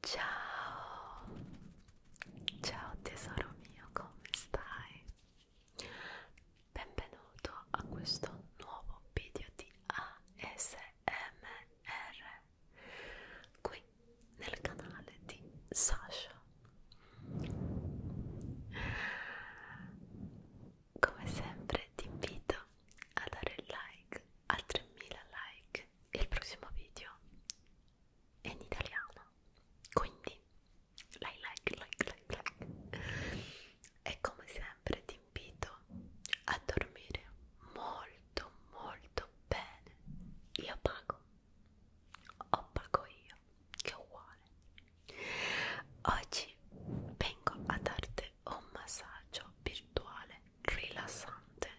Ciao, ciao tesoro mio, come stai? Benvenuto a questo nuovo video di ASMR qui nel canale di Sasha. Come sempre ti invito a dare il like a 3000 like il prossimo video è in italiano quindi like like like like like e come sempre ti invito a dormire molto molto bene io pago o pago io che uguale oggi vengo a darti offre un massaggio virtuale rilassante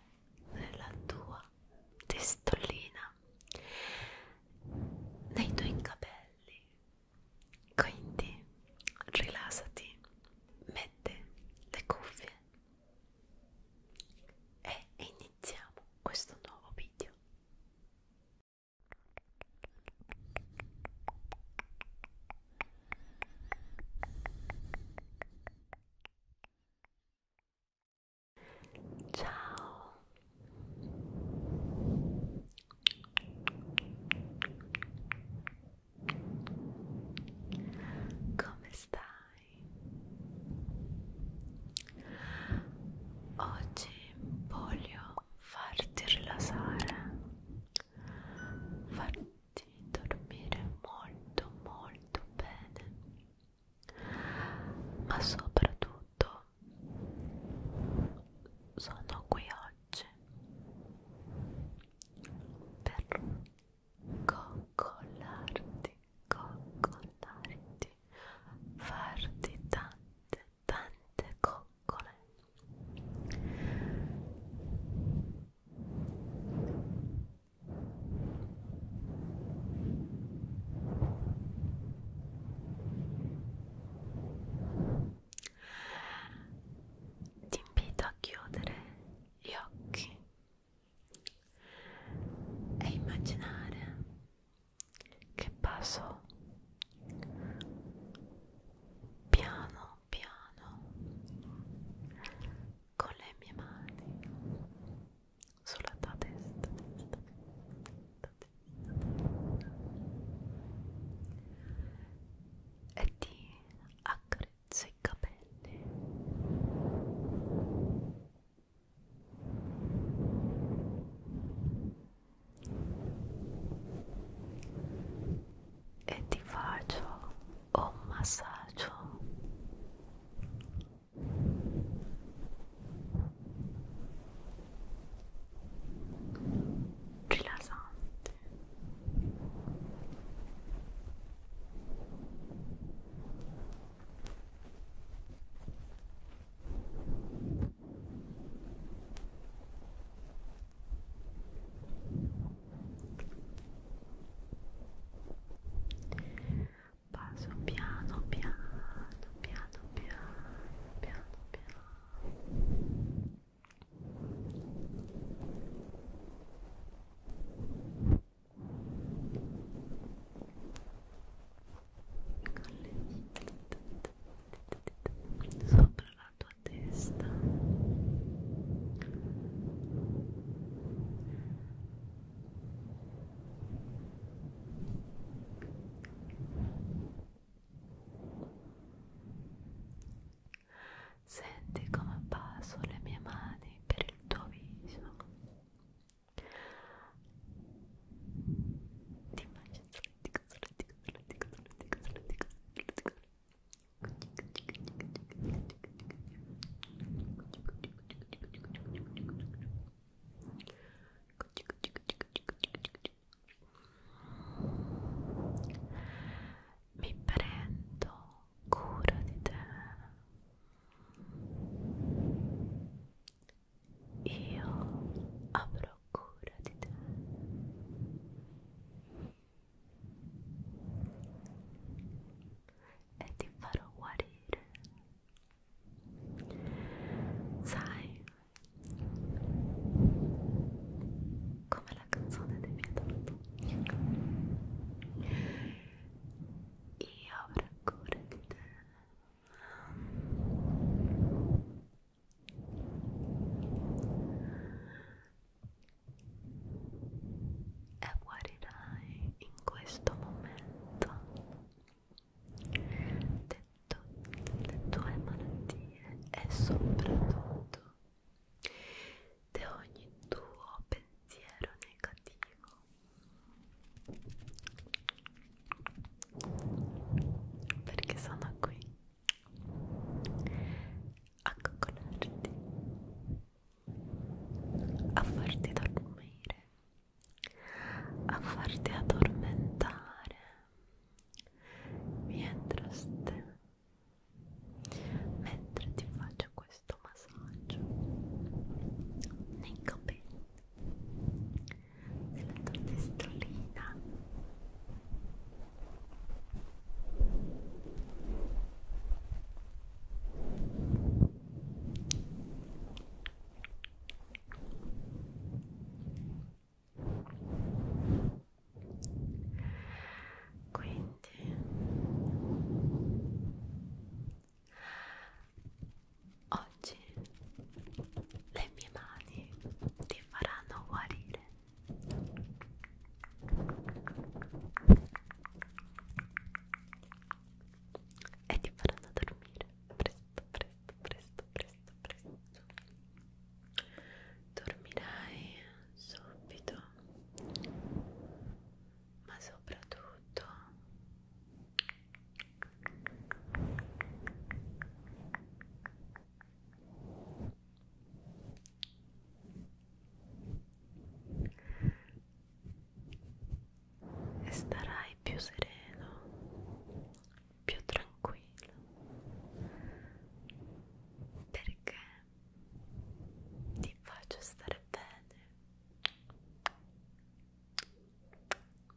nella tua testolina, nei tuoi capelli. Quindi rilassati, metti le cuffie e iniziamo questo nuovo video. Ciao. Come stai? Oggi voglio farti rilassare. Farti di dormire molto molto bene ma soprattutto sono qui oggi per coccolarti coccolarti farti tante tante coccole ti invito a chiudere gli occhi e immaginare che passo piano piano con le mie mani sulla tua testa, testa, testa, testa. e ti accarezzo i capelli e ti faccio un massaggio rilassante Passo piano piano piano piano piano piano con le dita sopra la tua tua testa senti come passo le mie mani per il tuo viso ti immagino mi prendo cura di te. Io avrò ho cura di te e ti farò guarire sai come la canzone dei Pietro io avrò cura di te e guarirai in questo momento detto le tue malattie e soprattutto di ogni tuo pensiero negativo perché sono qui a coccolarti a farti dormire a farti addormentare mientras te mentre ti faccio questo massaggio nei capelli sulla tua testolina quindi Oggi le mie mani ti faranno guarire. E ti faranno dormire presto, presto, presto, presto, presto. Dormirai subito, ma soprattutto e starai più sereno, più tranquillo, perché ti faccio stare bene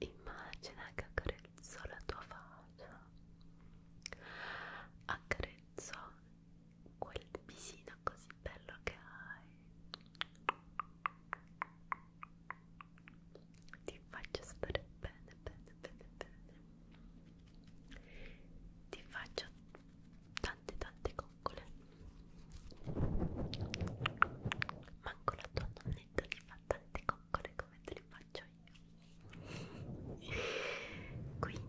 Immagina che accarezzo la tua faccia, accarezzo quel visino così bello che hai. Ti faccio stare bene, bene, bene, bene. Ti faccio tante tante coccole manco la tua nonnetta ti fa tante coccole come te le faccio io quindi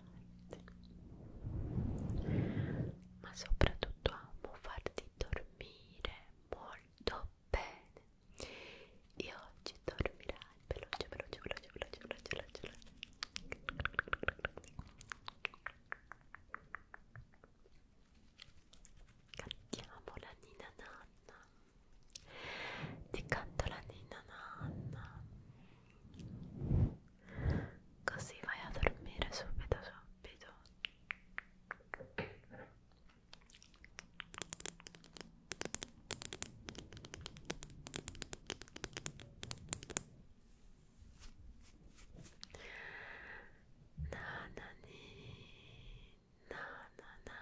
stimolante ma soprattutto amo farti dormire molto bene e oggi dormirai veloce veloce veloce veloce veloce veloce, veloce. Cantiamo la Nina Nanna ti canto la ninna nanna così vai a dormire subito subito Nanani, nanana,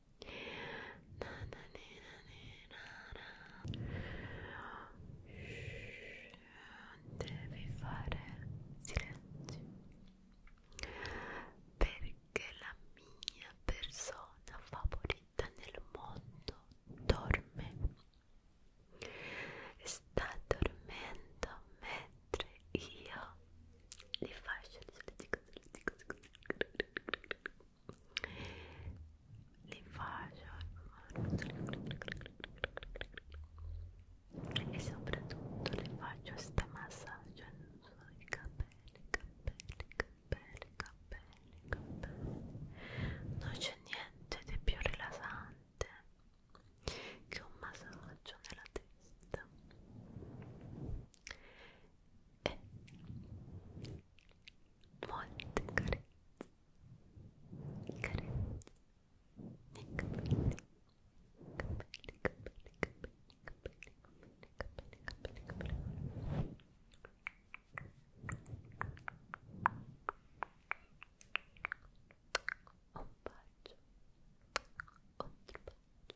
devi fare silenzio perché la mia persona favorita nel mondo dorme sta dormendo mentre io li faccio li dico, li dico, li dico, li dico li faccio e soprattutto le faccio sta massaggio sui so, capelli, capelli, capelli, capelli, capelli non c'è niente di più rilassante che un massaggio nella testa e molte carezze carezze nei capelli capelli capelli capelli capelli capelli capelli capelli un bacio ogni bacio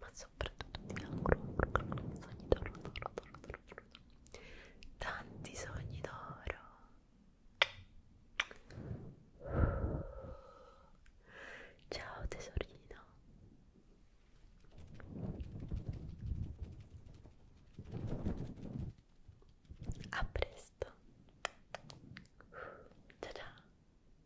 ma soprattutto ti auguro sogni d'oro, d'oro, d'oro, d'oro, d'oro. Tanti sogni d'oro. Ciao tesorino. A presto. Ciao ciao.